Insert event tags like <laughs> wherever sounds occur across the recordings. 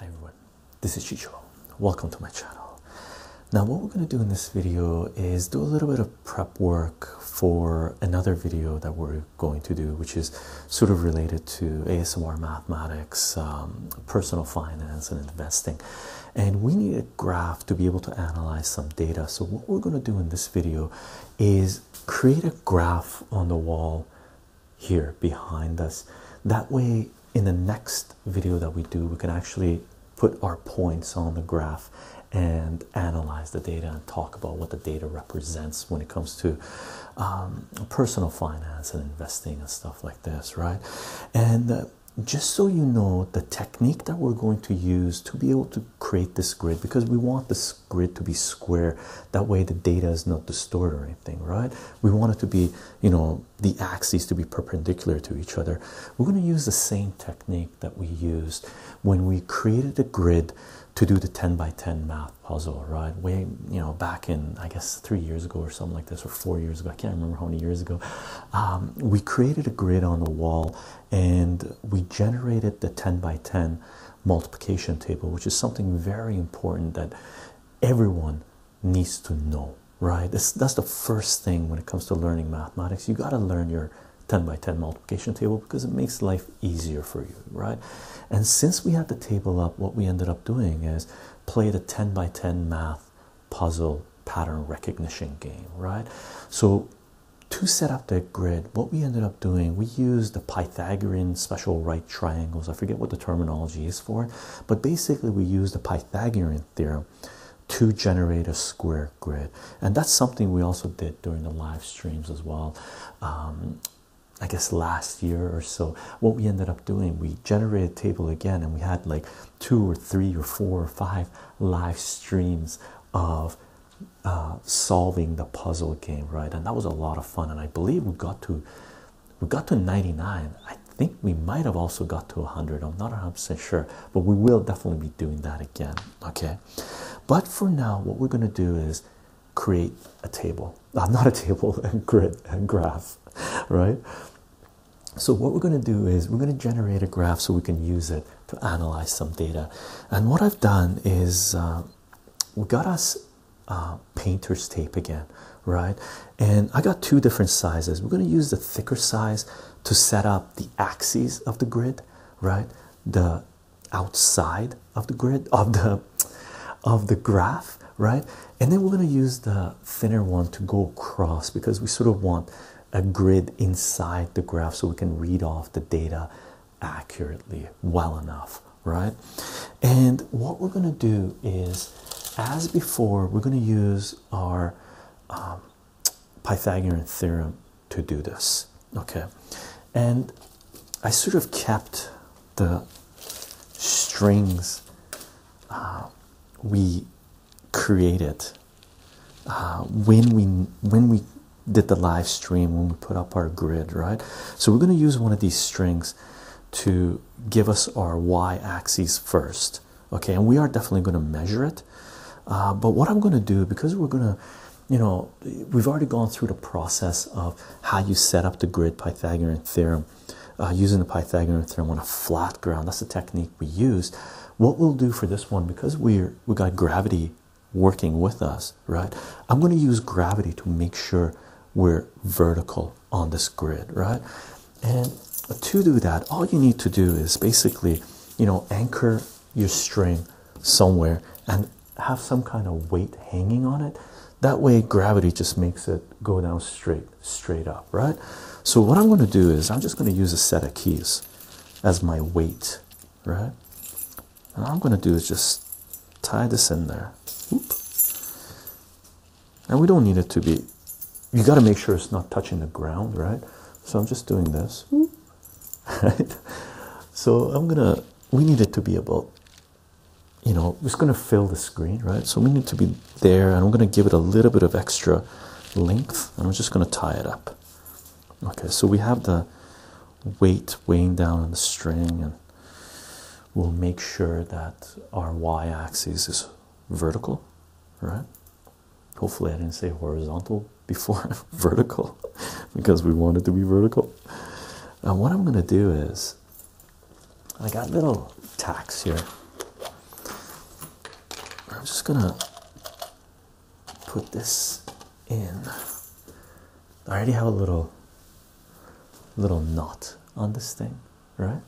Hi everyone, this is Chicho. Welcome to my channel. Now what we're going to do in this video is do a little bit of prep work for another video that we're going to do which is sort of related to ASMR mathematics, um, personal finance and investing and we need a graph to be able to analyze some data. So, what we're going to do in this video is create a graph on the wall here behind us. That way, in the next video that we do, we can actually put our points on the graph and analyze the data and talk about what the data represents when it comes to um, personal finance and investing and stuff like this, right? And uh, just so you know the technique that we're going to use to be able to create this grid because we want this grid to be square that way the data is not distorted or anything right we want it to be you know the axes to be perpendicular to each other we're going to use the same technique that we used when we created the grid to do the 10 by 10 math puzzle right way you know back in i guess three years ago or something like this or four years ago i can't remember how many years ago um, we created a grid on the wall and we generated the 10 by 10 multiplication table, which is something very important that everyone needs to know, right? that's the first thing when it comes to learning mathematics. You got to learn your 10 by 10 multiplication table because it makes life easier for you, right? And since we had the table up, what we ended up doing is play the 10 by 10 math puzzle pattern recognition game, right? So to set up the grid, what we ended up doing, we used the Pythagorean special right triangles. I forget what the terminology is for, but basically we used the Pythagorean theorem to generate a square grid, and that's something we also did during the live streams as well. Um, I guess last year or so, what we ended up doing, we generated a table again, and we had like two or three or four or five live streams of uh, solving the puzzle game, right? And that was a lot of fun. And I believe we got to we got to 99. I think we might have also got to 100. I'm not 100% sure, but we will definitely be doing that again. Okay. But for now, what we're going to do is create a table, uh, not a table, and <laughs> grid and graph, right? So, what we're going to do is we're going to generate a graph so we can use it to analyze some data. And what I've done is uh, we got us uh, painter's tape again, right? And I got two different sizes. We're going to use the thicker size to set up the axes of the grid, right? The outside of the grid <laughs> of the of the graph, right? And then we're going to use the thinner one to go across because we sort of want a grid inside the graph so we can read off the data accurately well enough, right? And what we're going to do is, as before, we're going to use our um, Pythagorean theorem to do this, okay? And I sort of kept the strings uh, we create it uh, when we when we did the live stream when we put up our grid right so we're going to use one of these strings to give us our y-axis first okay and we are definitely going to measure it uh, but what i'm going to do because we're going to you know we've already gone through the process of how you set up the grid pythagorean theorem uh, using the pythagorean theorem on a flat ground that's the technique we use what we'll do for this one because we're we got gravity working with us, right? I'm going to use gravity to make sure we're vertical on this grid, right? And to do that, all you need to do is basically, you know, anchor your string somewhere and have some kind of weight hanging on it. That way, gravity just makes it go down straight, straight up, right? So, what I'm going to do is I'm just going to use a set of keys as my weight, right? And I'm going to do is just tie this in there. And we don't need it to be, you got to make sure it's not touching the ground, right? So I'm just doing this. <laughs> Right? So I'm going to, we need it to be about, you know, it's going to fill the screen, right? So we need to be there and I'm going to give it a little bit of extra length and I'm just going to tie it up. Okay, so we have the weight weighing down on the string, and we'll make sure that our y axis is vertical, right? Hopefully, I didn't say horizontal before <laughs> vertical because we want it to be vertical. And uh, what I'm going to do is, I got little tacks here. I'm just going to put this in. I already have a little little knot on this thing, right?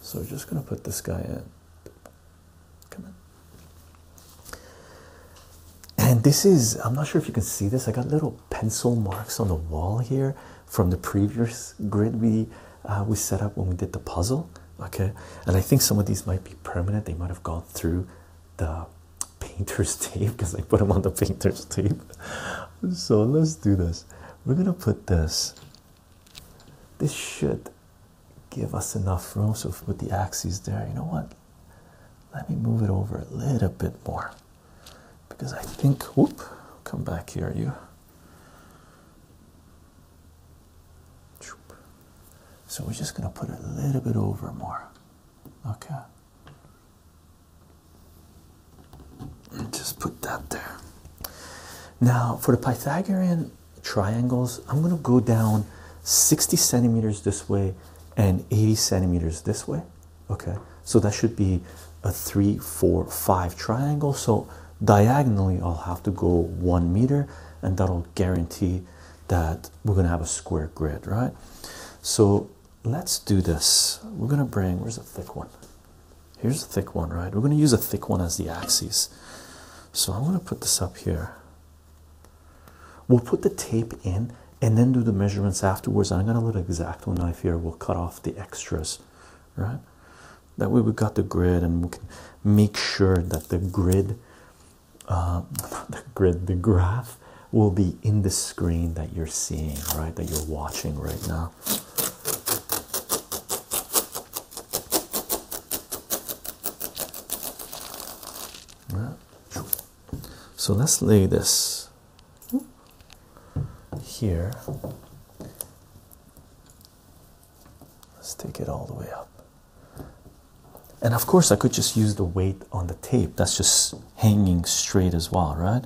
So we're just gonna put this guy in. Come in. And this is, I'm not sure if you can see this. I got little pencil marks on the wall here from the previous grid we uh, we set up when we did the puzzle okay and i think some of these might be permanent they might have gone through the painter's <laughs> tape because i put them on the painter's tape so let's do this we're gonna put this this should give us enough room so we put the axes there you know what let me move it over a little bit more because i think whoop come back here you so we're just going to put a little bit over more. Okay. And just put that there. Now, for the Pythagorean triangles, I'm going to go down 60 centimeters this way and 80 centimeters this way. Okay. So that should be a three, four, five triangle. So diagonally, I'll have to go one meter, and that'll guarantee that we're going to have a square grid, right? So let's do this. We're going to bring, where's a thick one? Here's a thick one, right? We're going to use a thick one as the axis. So I'm going to put this up here. We'll put the tape in and then do the measurements afterwards. I'm going to let an exacto knife here. We'll cut off the extras, right? That way we have got the grid and we can make sure that the grid um, <laughs> the grid, the graph will be in the screen that you're seeing, right? That you're watching right now. So let's lay this here. Let's take it all the way up. And of course, I could just use the weight on the tape that's just hanging straight as well, right?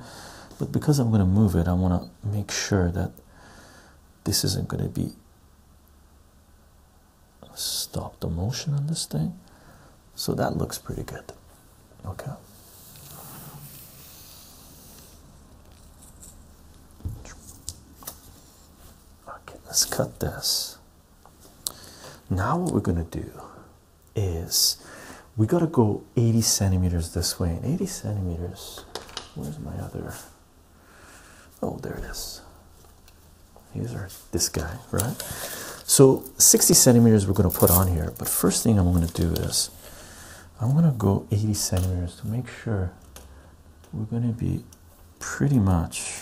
But because I'm going to move it, I want to make sure that this isn't going to be. Stop the motion on this thing. So that looks pretty good. Okay. Okay, let's cut this. Now what we're gonna do is we gotta go 80 centimeters this way and 80 centimeters. Where's my other? Oh, there it is. Here's our this guy, right? So 60 centimeters we're gonna put on here, but first thing I'm gonna do is I'm gonna go 80 centimeters to make sure we're gonna be pretty much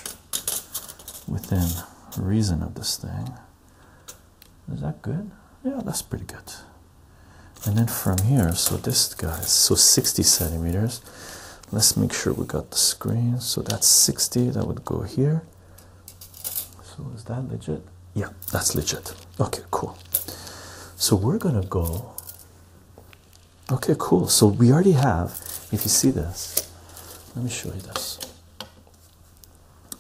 within reason of this thing. Is that good? Yeah, that's pretty good. And then from here, so this guy, so 60 centimeters. Let's make sure we got the screen. So that's 60, that would go here. So is that legit? Yeah, that's legit. Okay, cool. So we're gonna go Okay, cool. So we already have, if you see this, let me show you this.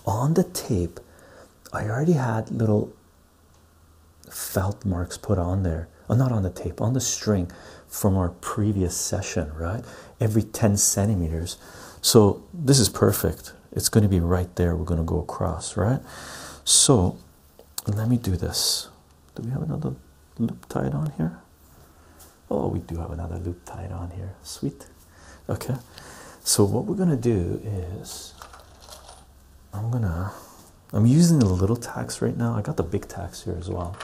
On the tape, I already had little felt marks put on there. Oh, not on the tape, on the string from our previous session, right? Every 10 centimeters. So this is perfect. It's going to be right there. We're going to go across, right? So let me do this. Do we have another loop tied on here? Oh, we do have another loop tied on here. Sweet. Okay. So what we're gonna do is I'm gonna I'm using the little tax right now. I got the big tax here as well.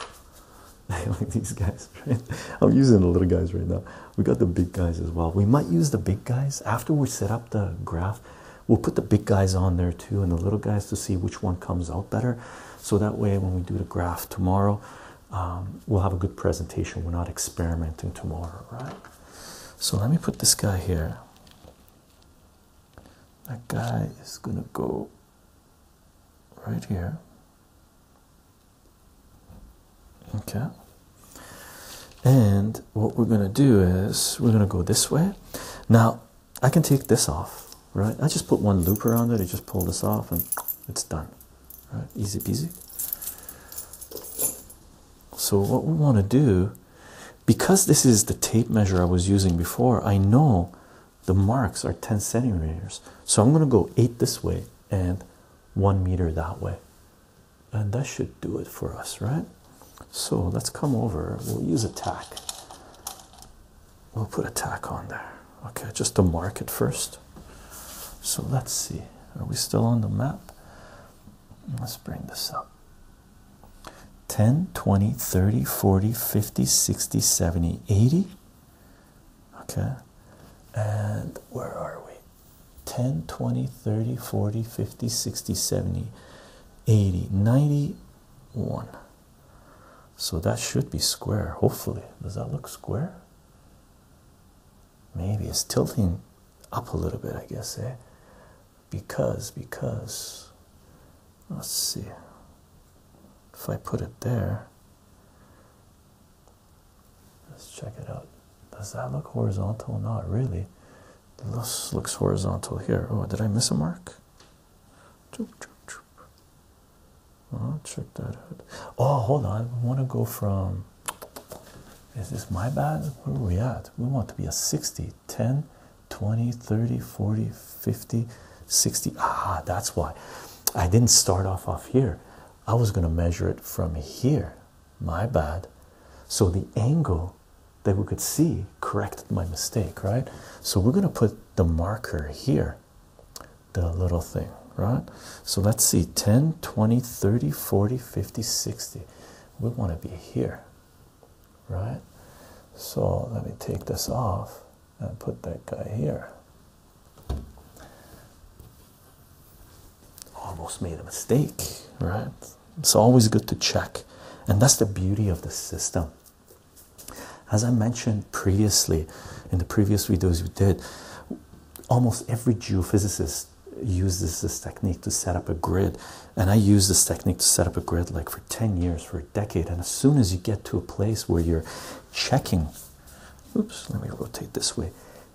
<laughs> like these guys, right? I'm using the little guys right now. We got the big guys as well. We might use the big guys after we set up the graph. We'll put the big guys on there too and the little guys to see which one comes out better. So that way, when we do the graph tomorrow, um, we'll have a good presentation. We're not experimenting tomorrow, right? So let me put this guy here. That guy is going to go right here. Okay. And what we're going to do is we're going to go this way. Now, I can take this off, right? I just put one loop around it, I just pull this off, and it's done, Easy peasy. So, what we want to do, because this is the tape measure I was using before, I know the marks are 10 centimeters. So, I'm going to go 8 this way and 1 meter that way. And that should do it for us, right? So, let's come over, we'll use a tack we'll put a tack on there okay just to mark it first so let's see are we still on the map let's bring this up 10 20 30 40 50 60 70 80 okay and where are we 10 20 30 40 50 60 70 80 91 so that should be square, hopefully. Does that look square? Maybe it's tilting up a little bit, I guess, eh? Because, because, let's see. If I put it there, let's check it out. Does that look horizontal? Not really. This looks horizontal here. Oh, did I miss a mark? Oh, check that out. Oh, hold on. We want to go from. Is this my bad? Where are we at? We want to be a 60, 10, 20, 30, 40, 50, 60. Ah, that's why. I didn't start off off here. I was going to measure it from here. My bad. So the angle that we could see corrected my mistake, right? So we're going to put the marker here the little thing, right? So let's see 10, 20, 30, 40, 50, 60. We want to be here, right? So let me take this off and put that guy here. Almost made a mistake, right? It's always good to check, and that's the beauty of the system. As I mentioned previously in the previous videos we did, almost every geophysicist uses this technique to set up a grid. And I use this technique to set up a grid like for 10 years, for a decade. And as soon as you get to a place where you're checking, oops, let me rotate this way,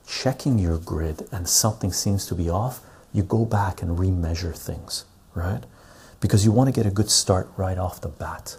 checking your grid and something seems to be off, you go back and remeasure things, right? Because you want to get a good start right off the bat.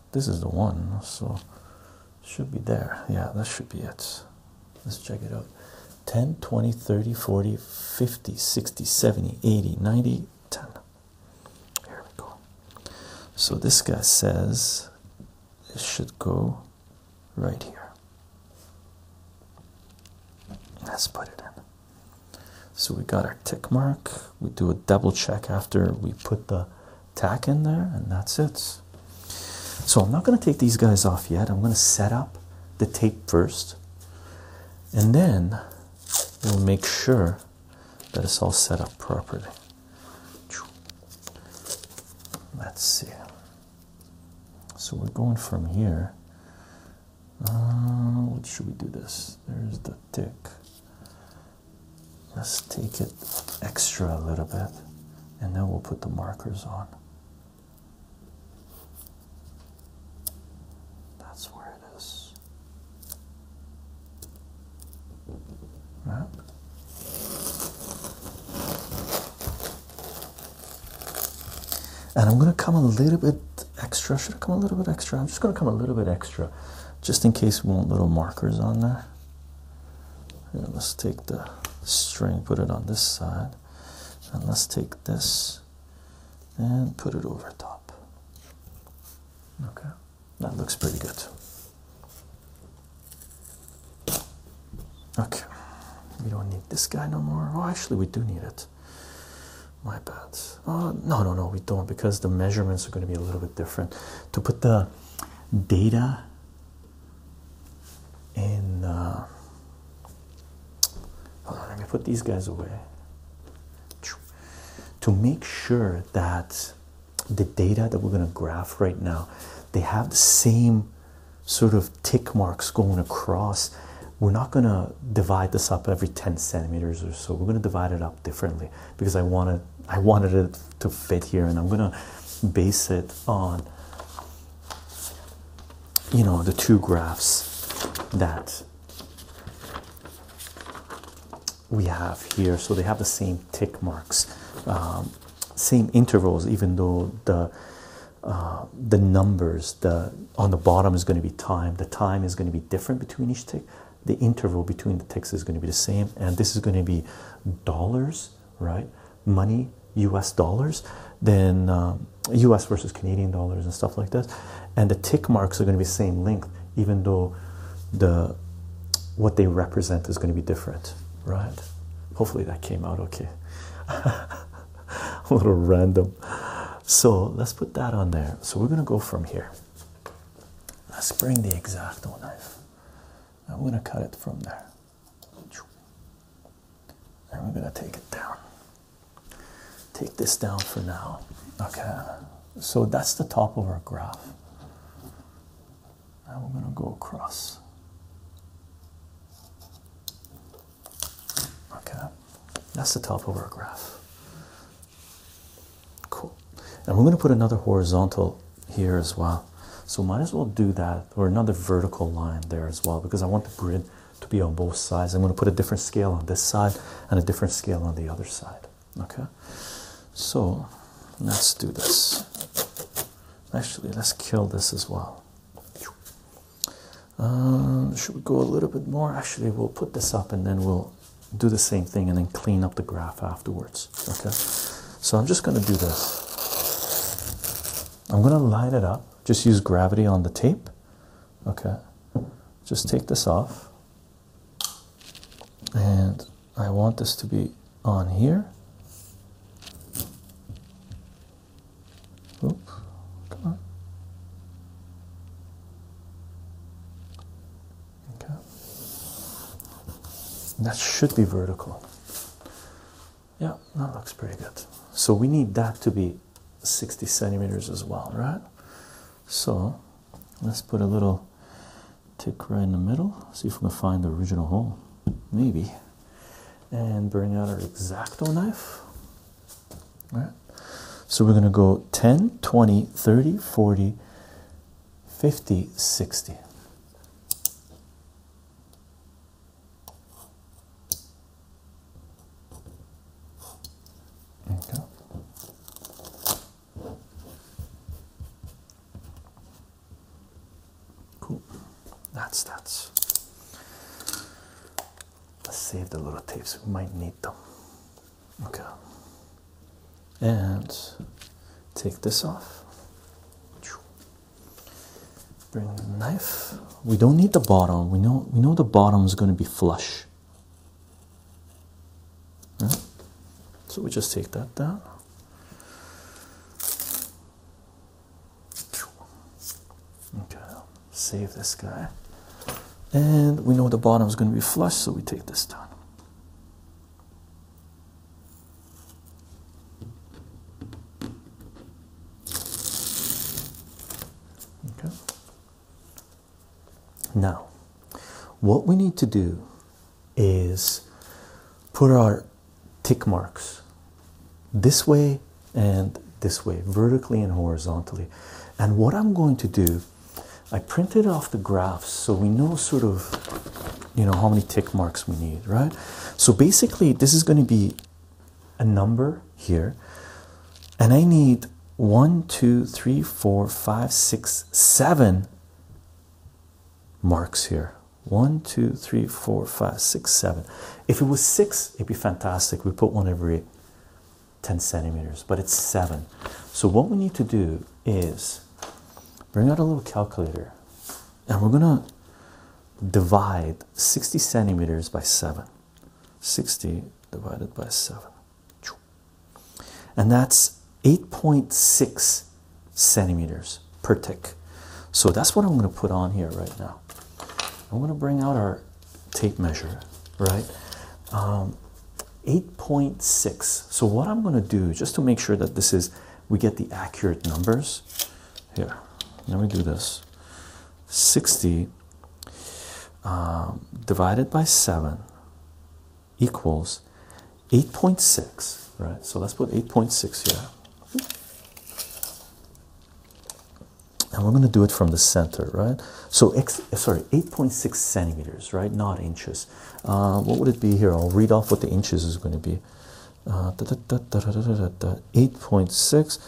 this is the one so should be there yeah that should be it let's check it out 10 20 30 40 50 60 70 80 90 10 here we go so this guy says it should go right here let's put it in so we got our tick mark we do a double check after we put the tack in there and that's it so i'm not going to take these guys off yet i'm going to set up the tape first and then we'll make sure that it's all set up properly let's see so we're going from here uh, what should we do this there's the tick just take it extra a little bit and then we'll put the markers on. That's where it is. Right. And I'm going to come a little bit extra. Should I come a little bit extra? I'm just going to come a little bit extra just in case we want little markers on there let's take the string put it on this side and let's take this and put it over top okay that looks pretty good okay we don't need this guy no more oh actually we do need it my bad oh no no no we don't because the measurements are going to be a little bit different to put the data and uh, let me put these guys away to make sure that the data that we're going to graph right now they have the same sort of tick marks going across we're not going to divide this up every 10 centimeters or so we're going to divide it up differently because i want to I wanted it to fit here, and I'm gonna base it on you know the two graphs that we have here. So they have the same tick marks, um, same intervals, even though the uh, the numbers the on the bottom is going to be time. The time is going to be different between each tick. The interval between the ticks is going to be the same, and this is going to be dollars, right? money, US dollars, then US um, versus Canadian dollars and stuff like this. And the tick marks are going to be same length, even though the what they represent is going to be different, right? Hopefully that came out okay. <laughs> A little random. So let's put that on there. So we're going to go from here. Let's bring the exacto knife. I'm going to cut it from there. And we're gonna take it down. Take this down for now. Okay, so that's the top of our graph. Now we're gonna go across. Okay, that's the top of our graph. Cool. And we're gonna put another horizontal here as well. So might as well do that or another vertical line there as well because I want the grid to be on both sides. I'm going to put a different scale on this side and a different scale on the other side. Okay, so let's do this. Actually, let's kill this as well. Um, should we go a little bit more? Actually, we'll put this up and then we'll do the same thing and then clean up the graph afterwards. Okay. So I'm just going to do this. I'm going to line it up. Just use gravity on the tape. Okay. Just take this off. And I want this to be on here. Oop. Come on. Okay. That should be vertical yeah that looks pretty good so we need that to be 60 centimeters as well right so let's put a little tick right in the middle see if we can find the original hole maybe and bring out our exacto knife all right so we're going to go 10 20 30 40 50 60 there you go. Cool. That's that's. Let's save the little tapes. We might need them. Okay. And take this off. Bring the knife. We don't need the bottom. We know we know the bottom is going to be flush. So we just take that down. Okay, save this guy. And we know the bottom is going to be flush, so we take this down. Okay. Now, what we need to do is put our tick marks this way and this way, vertically and horizontally. And what I'm going to do, I printed off the graphs so we know sort of you know how many tick marks we need, right? So basically, this is going to be a number here, and I need one, two, three, four, five, six, seven marks here. One, two, three, four, five, six, seven. If it was six, it'd be fantastic. We put one every 10 centimeters, but it's seven. So, what we need to do is bring out a little calculator and we're gonna divide 60 centimeters by 7 60 divided by 7 and that's 8.6 centimeters per tick so that's what i'm going to put on here right now i'm going to bring out our tape measure right um, 8.6 so what i'm going to do just to make sure that this is we get the accurate numbers. Here, let me do this 60 um, divided by 7 equals 8.6, right? So let's put 8.6 here. And we're going to do it from the center, right? So, sorry, 8.6 centimeters, right? Not inches. Uh, what would it be here? I'll read off what the inches is going to be. 8.6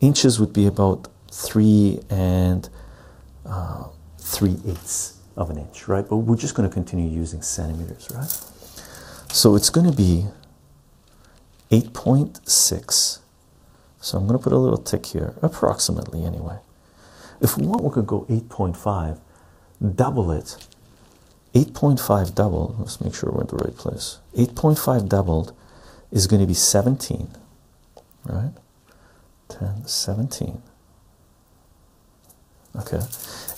inches would be about three and three eighths of an inch, right? But we're just going to continue using centimeters, right? So it's going to be 8.6. So I'm going to put a little tick here, approximately anyway. If we want, we could go 8.5, double it, 8.5 doubled, let's make sure we're in the right place. 8.5 doubled is going to be 17, right? 10, 17. Okay,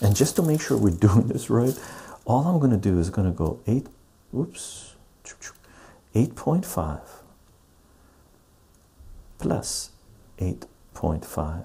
and just to make sure we're <laughs> doing this right, all I'm going to do is going to go 8, whoops, 8.5 plus 8.5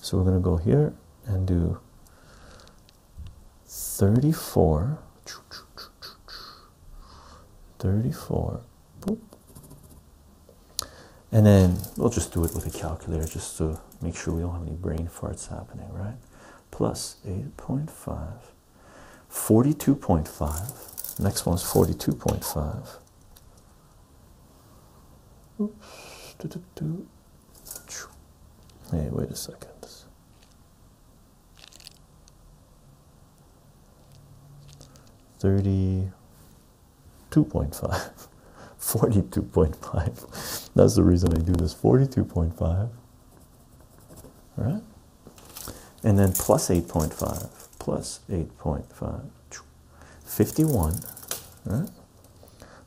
So we're going to go here and do 34. 34. And then we'll just do it with a calculator just to make sure we don't have any brain farts happening, right? Plus 8.5. 42.5. Next is 42.5. Oops. Hey, wait a second. Thirty-two point five. <laughs> Forty-two point five. That's the reason I do this. Forty-two point five. All right? And then plus 8.5, plus 8.5, right?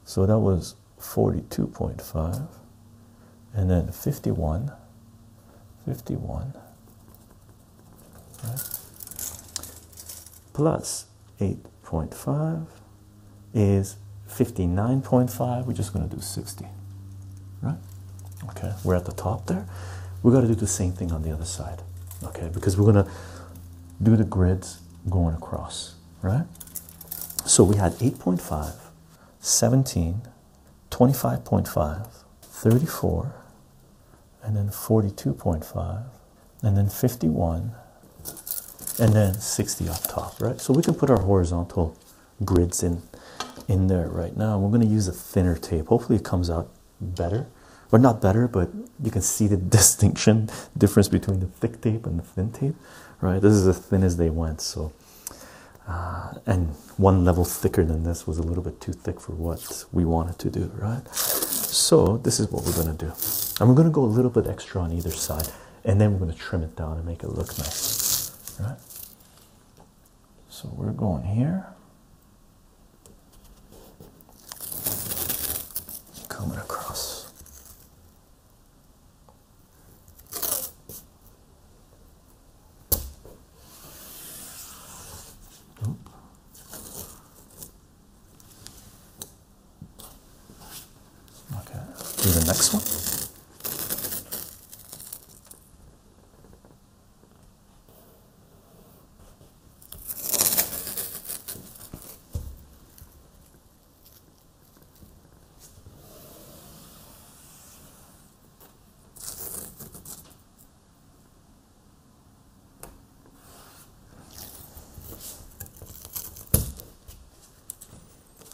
So that was 42.5 and then 51 51 8.5 is 59.5 we're just going to do 60 right okay we're at the top there we got to do the same thing on the other side okay because we're going to do the grids going across right? So we had 8.5, 17, 25.5, 34, and then 42.5, and then 51, and then 60 up top, right? So we can put our horizontal grids in in there right now. We're going to use a thinner tape. Hopefully it comes out better. Or not better, but you can see the <laughs> distinction difference between the thick tape and the thin tape, right? This is as thin as they went. So, uh, and one level thicker than this was a little bit too thick for what we wanted to do, right? So this is what we're gonna do. And we're gonna go a little bit extra on either side, and then we're gonna trim it down and make it look nice, right? So we're going here. Coming across, Okay, do the next one.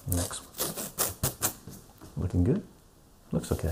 Next Looking good? Looks okay.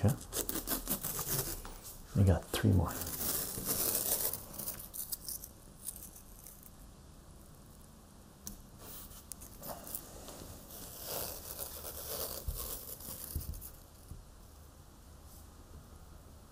Okay, we got three more.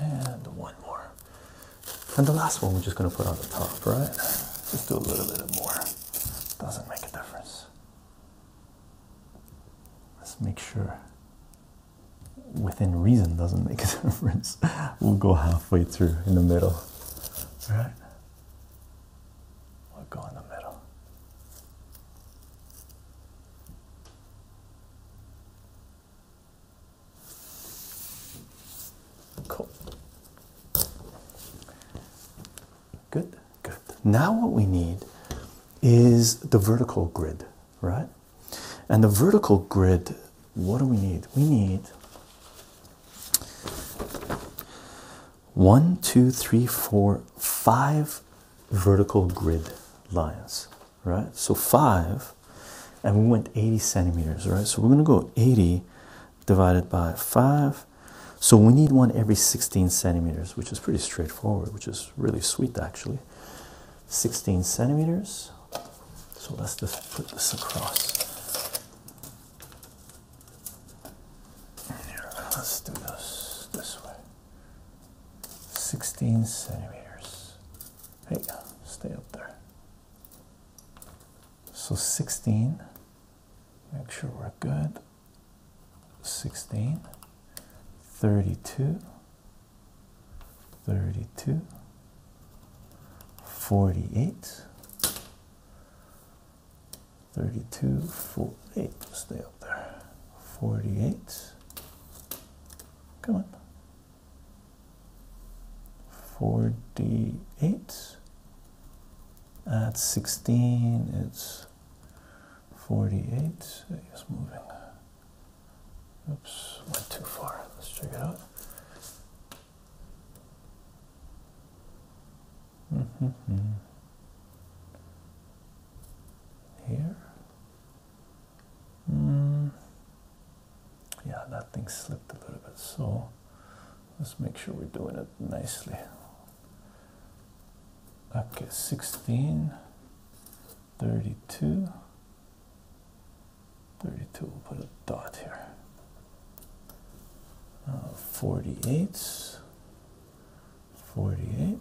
And one more. And the last one we're just going to put on the top, right? Just do a little bit more. Doesn't make a difference. Let's make sure within reason doesn't make a <laughs> difference. We'll go halfway through in the middle. All right? we will go in the middle. Cool. Good, good. Now, what we need is the vertical grid, right? And the vertical grid, what do we need? We need one, two, three, four, five vertical grid lines, right? So five, and we went 80 centimeters, right? So we're gonna go 80 divided by five. So we need one every 16 centimeters, which is pretty straightforward, which is really sweet actually. 16 centimeters. So let's just put this across let's do this this way. 16 centimeters. Hey, stay up there. So 16. Make sure we're good. 16. 32. 32. 48. 32, 48, stay up there, 48, come on, 48, at 16 it's 48, it's moving, oops, went too far, let's check it out. Mm-hmm here. Hmm. Yeah, that thing slipped a little bit, so let's make sure we're doing it nicely. Okay, 16, 32, 32, we'll put a dot here. Uh, 48, 48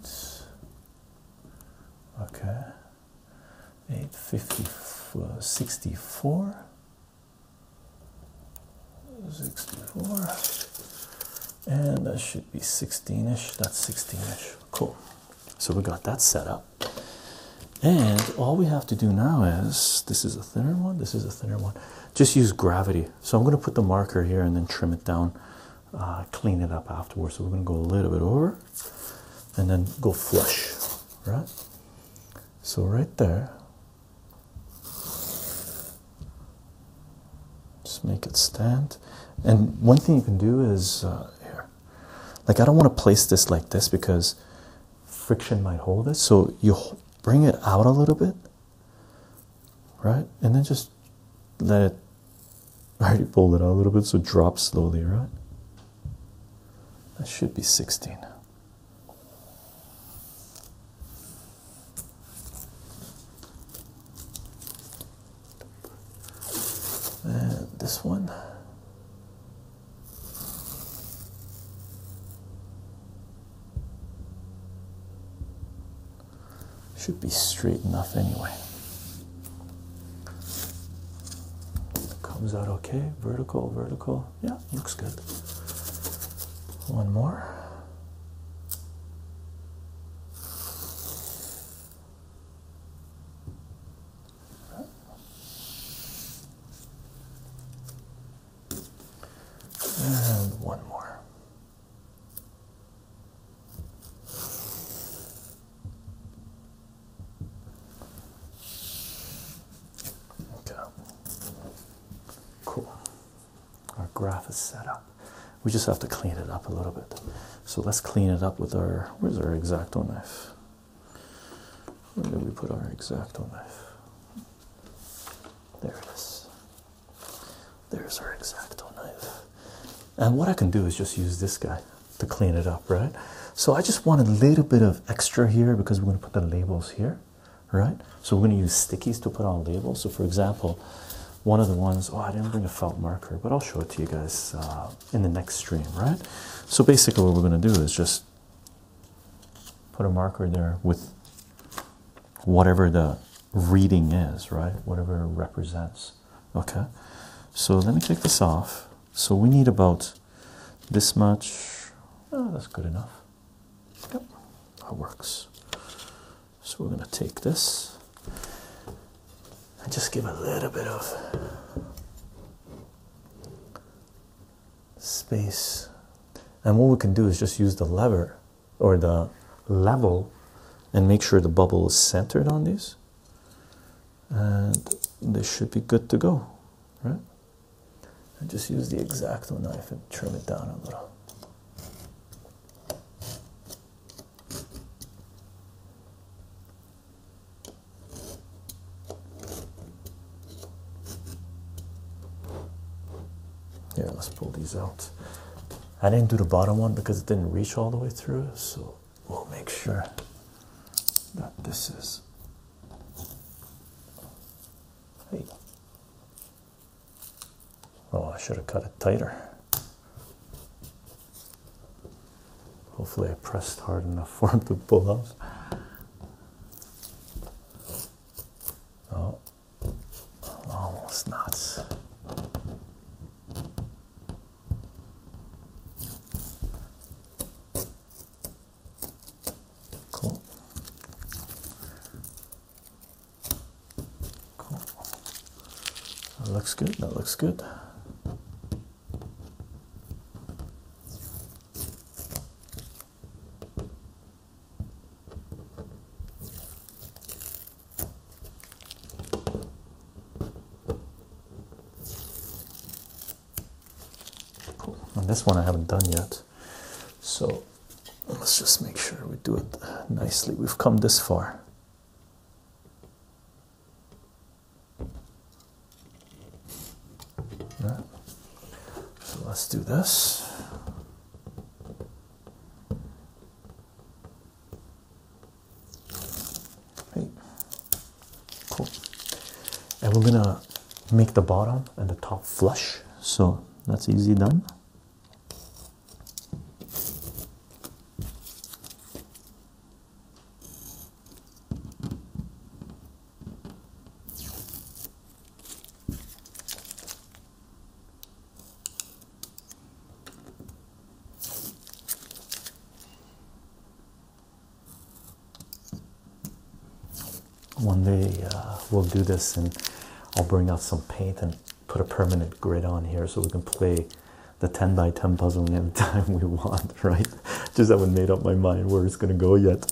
okay 850 uh, 64 64 and that should be 16ish that's 16ish cool so we got that set up and all we have to do now is this is a thinner one this is a thinner one just use gravity so i'm going to put the marker here and then trim it down uh, clean it up afterwards. So we're going to go a little bit over and then go flush, right? So, right there, just make it stand. And one thing you can do is uh, here, like, I don't want to place this like this because friction might hold it. So, you bring it out a little bit right? And then just let it. I <laughs> already pulled it out a little bit, so drop slowly, right? That should be 16. And this one. Should be straight enough anyway. Comes out okay. Vertical, vertical. Yeah, looks good. One more. And one more. Okay. Cool. Our graph is set up. We just have to clean it up a little bit. So let's clean it up with our where's our exacto knife? Where did we put our exacto knife? There it is. There's our exacto knife. And what I can do is just use this guy to clean it up, right? So I just want a little bit of extra here because we're going to put the labels here, right? So we're going to use stickies to put on labels. So for example, one of the ones, oh, I didn't bring a felt marker, but I'll show it to you guys uh, in the next stream, right? So basically what we're going to do is just put a marker there with whatever the reading is, right? Whatever represents. Okay, so let me take this off. So we need about this much. Oh, that's good enough. Yep, that works. So we're going to take this and just give a little bit of space. And what we can do is just use the lever or the level and make sure the bubble is centered on these and they should be good to go right and just use the exacto knife and trim it down a little Yeah, let's pull these out I didn't do the bottom one because it didn't reach all the way through, so we'll make sure that this is. Hey. Oh, I should have cut it tighter. Hopefully, I pressed hard enough <laughs> for him to pull out. Oh, almost nuts. Cool. Cool. looks good. That looks good this one I haven't done yet. So let's just make sure we do it nicely. We've come this far. So let's do this. Right. Cool. And we're gonna make the bottom and the top flush, so that's easy done. One day uh, we'll do this, and I'll bring out some paint and put a permanent grid on here so we can play the 10 by 10 puzzle <laughs> any time we want, right? Just haven't made up my mind where it's gonna go yet.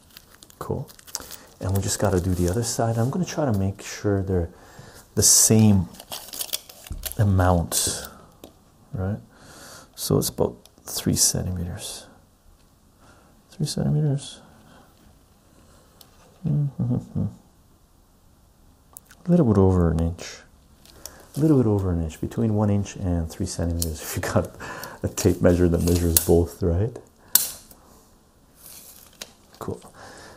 Cool. And we just got to do the other side. I'm going to try to make sure they're the same amount, right? So it's about three centimeters. Three centimeters. A little bit over an inch. A little bit over an inch, between one inch and three centimeters. If you got a tape measure that measures both, right? Cool.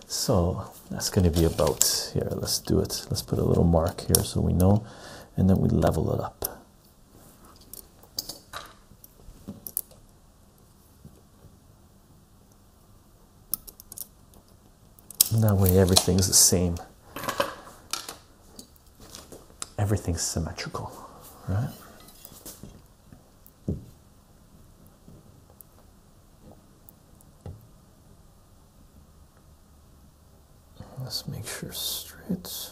So that's going to be about here. Let's do it. Let's put a little mark here so we know, and then we level it up. that way, everything's the same. Everything's symmetrical, right? Let's make sure straight.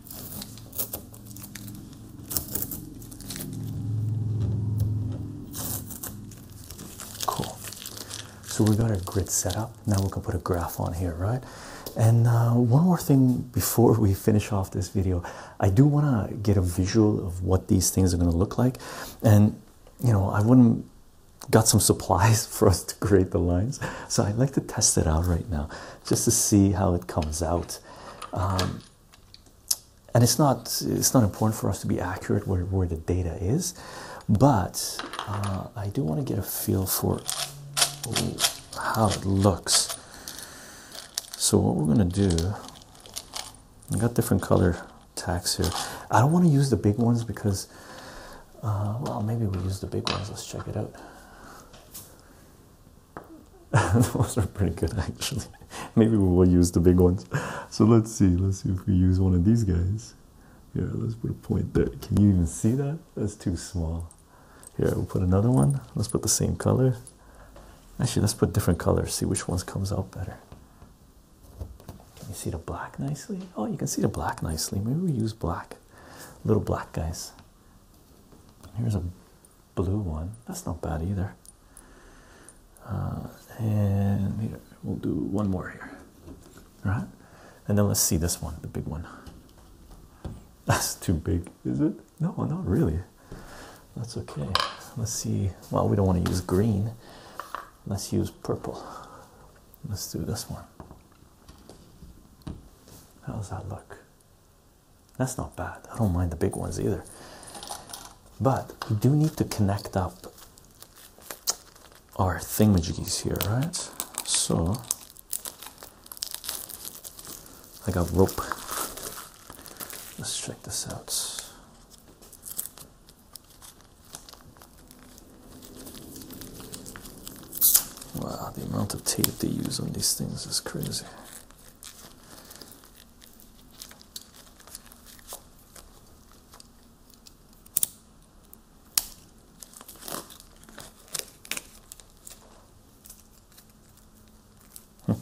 Cool. So we have got our grid set up. Now we can put a graph on here, right? And uh, one more thing before we finish off this video, I do want to get a visual of what these things are going to look like. And you know, I wouldn't got some supplies <laughs> for us to create the lines, so I'd like to test it out right now just to see how it comes out. Um, and it's not it's not important for us to be accurate where, where the data is but uh, i do want to get a feel for how it looks so what we're going to do i got different color tags here i don't want to use the big ones because uh, well maybe we use the big ones let's check it out <laughs> Those are pretty good actually. <laughs> Maybe we will use the big ones. So let's see. Let's see if we use one of these guys. Here, let's put a point there. Can you even see that? That's too small. Here, we'll put another one. Let's put the same color. Actually, let's put different colors. See which one comes out better. Can you see the black nicely? Oh, you can see the black nicely. Maybe we use black. Little black guys. Here's a blue one. That's not bad either. Uh, and here, we'll do one more here. All right? And then let's see this one, the big one. <laughs> That's too big, is it? No, not really. That's okay. Let's see. Well, we don't want to use green. Let's use purple. Let's do this one. How does that look? That's not bad. I don't mind the big ones either. But we do need to connect up our thingamajiggies here, right? So I got rope. Let's check this out. Wow, the amount of tape they use on these things is crazy. Hmm.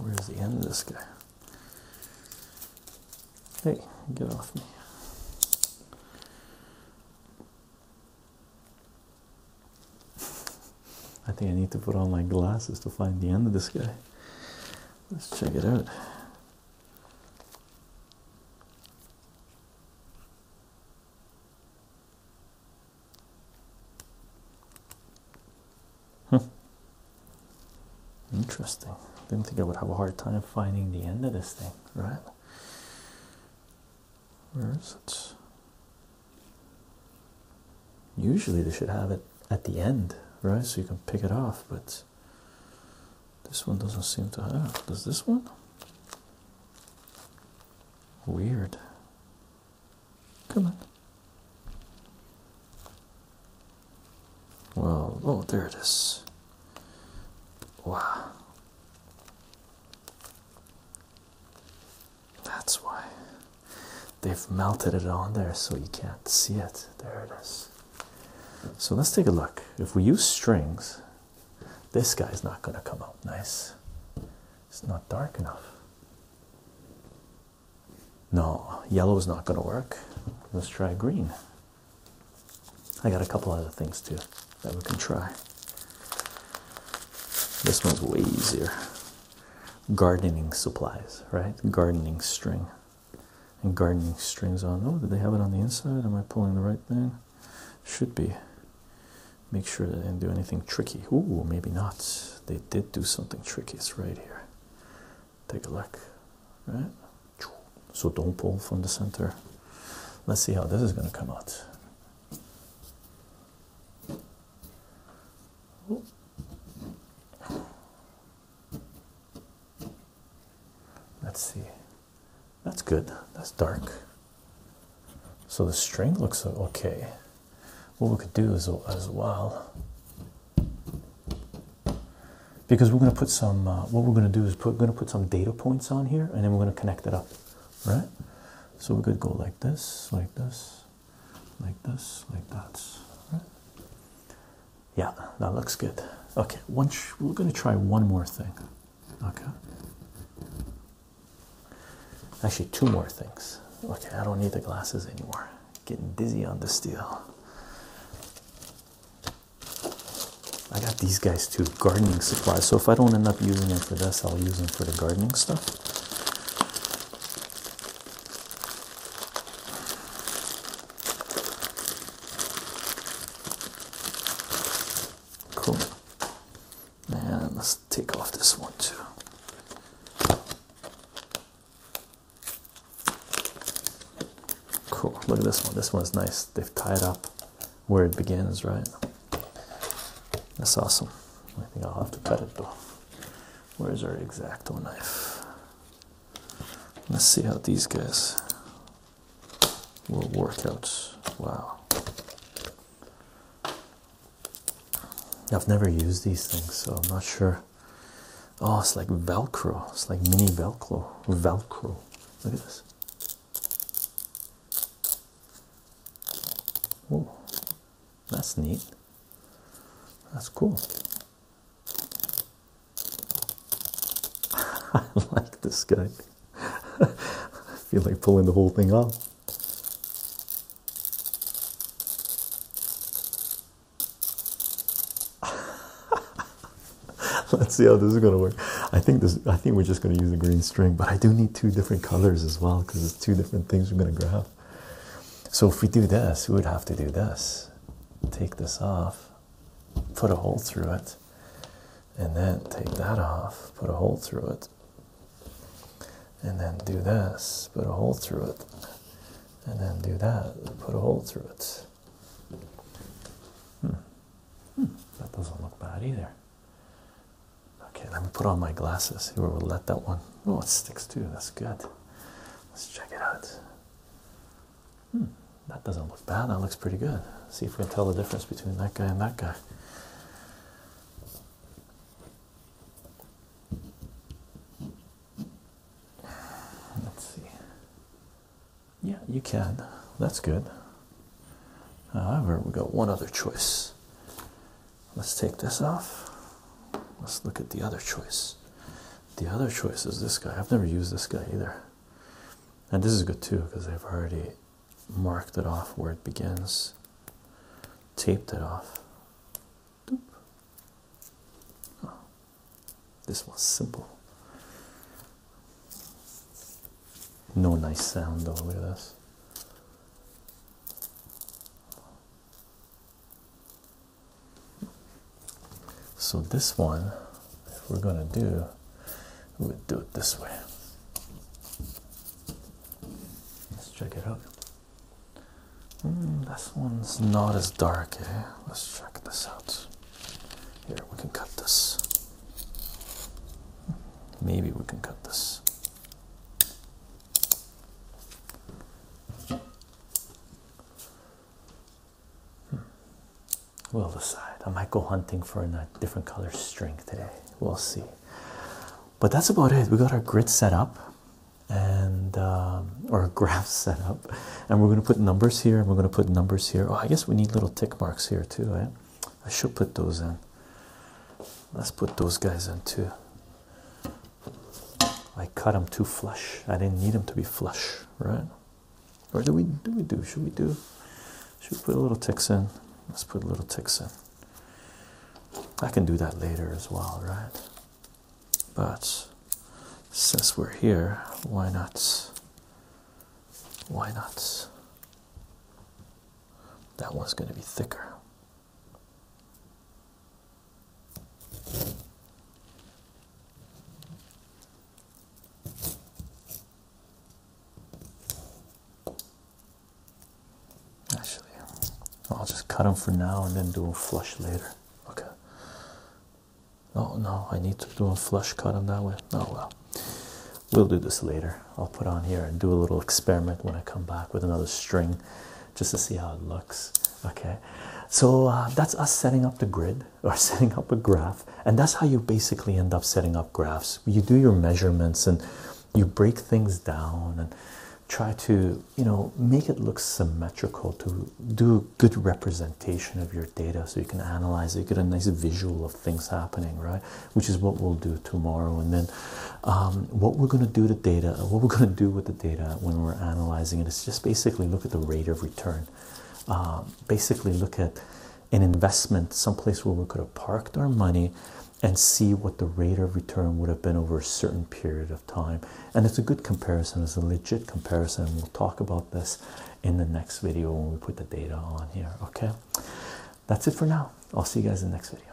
Where's the end of this guy? Hey, get off me. I think I need to put on my glasses to find the end of this guy. Let's check it out. Interesting. Didn't think I would have a hard time finding the end of this thing, right? Where is it? Usually they should have it at the end, right? So you can pick it off, but this one doesn't seem to have. Does this one? Weird. Come on. Well, oh, there it is. Wow. That's why they've melted it on there so you can't see it. There it is. So let's take a look. If we use strings, this guy's not going to come out nice. It's not dark enough. No, yellow is not going to work. Let's try green. I got a couple other things too that we can try. This one's way easier gardening supplies, right? Gardening string and gardening strings on. Oh, did they have it on the inside? Am I pulling the right thing? Should be. Make sure they didn't do anything tricky. Ooh, maybe not. They did do something tricky. It's right here. Take a look, right? So don't pull from the center. Let's see how this is going to come out. Let's see. That's good. That's dark. So the string looks okay. What we could do is as well, because we're going to put some. Uh, what we're going to do is put we're going to put some data points on here, and then we're going to connect it up, right? So we could go like this, like this, like this, like that. Yeah, that looks good. Okay, one we're going to try one more thing. Okay. Actually, two more things. Okay, I don't need the glasses anymore. Getting dizzy on the steel. I got these guys too, gardening supplies. So if I don't end up using them for this, I'll use them for the gardening stuff. Cool. And let's take off this one too. Cool. Look at this one. This one's nice. They've tied up where it begins, right? That's awesome. I think I'll have to cut it off. Where's our exacto knife? Let's see how these guys will work out. Wow. I've never used these things, so I'm not sure. Oh, it's like Velcro. It's like mini Velcro. Velcro. Look at this. Oh, that's neat. That's cool. <laughs> I like this guy. <laughs> I feel like pulling the whole thing off. <laughs> Let's see how this is gonna work. I think this. I think we're just gonna use the green string, but I do need two different colors as well because it's two different things we're gonna grab. So if we do this, we would have to do this. Take this off, put a hole through it, and then take that off, put a hole through it, and then do this, put a hole through it, and then do that, put a hole through it. Hmm. Hmm. That doesn't look bad either. Okay, let me put on my glasses. Here we'll let that one Oh, it sticks too. That's good. Let's check it out. Hmm, that doesn't look bad. That looks pretty good. See if we can tell the difference between that guy and that guy. Let's see. Yeah, you can. That's good. However, we got one other choice. Let's take this off. Let's look at the other choice. The other choice is this guy. I've never used this guy either. And this is good too because i have already marked it off where it begins, taped it off. Oh. this was simple. No nice sound though. Look at this. So this one, if we're going to do, we'll do it this way. Let's check it out. Hmm, this one's not as dark, eh? Let's check this out. Here, we can cut this. Hmm, maybe we can cut this. Hmm. We'll decide. I might go hunting for a different color string today. We'll see. But that's about it. We got our grid set up and um, or <laughs> graph set up, and we're going to put numbers here and we're going to put numbers here. Oh, I guess we need little tick marks here too, I should put those in. Let's put those guys in too. I cut them too flush. I didn't need them to be flush, right? Or do we do we do? Should we do? Should we put a little ticks in? Let's put a little ticks in. I can do that later as well, right? But since we're here, why not? Why not? That one's going to be thicker. Actually, I'll just cut them for now and then do a flush later. Okay. Oh no, I need to do a flush cut them that way. Oh well. We'll do this later. I'll put on here and do a little experiment when I come back with another string just to see how it looks okay so uh, that's us setting up the grid <laughs> or setting up a graph and that's how you basically end up setting up graphs you do your measurements and you break things down and try to you know make it look symmetrical to do a good representation of your data so you can analyze it you get a nice visual of things happening right which is what we'll do tomorrow and then um, what we're going to do to data, what we're going to do with the data when we're analyzing it is just basically look at the rate of return. Um, basically, look at an investment, someplace where we could have parked our money and see what the rate of return would have been over a certain period of time. And it's a good comparison, it's a legit comparison. We'll talk about this in the next video when we put the data on here. Okay, that's it for now. I'll see you guys in the next video.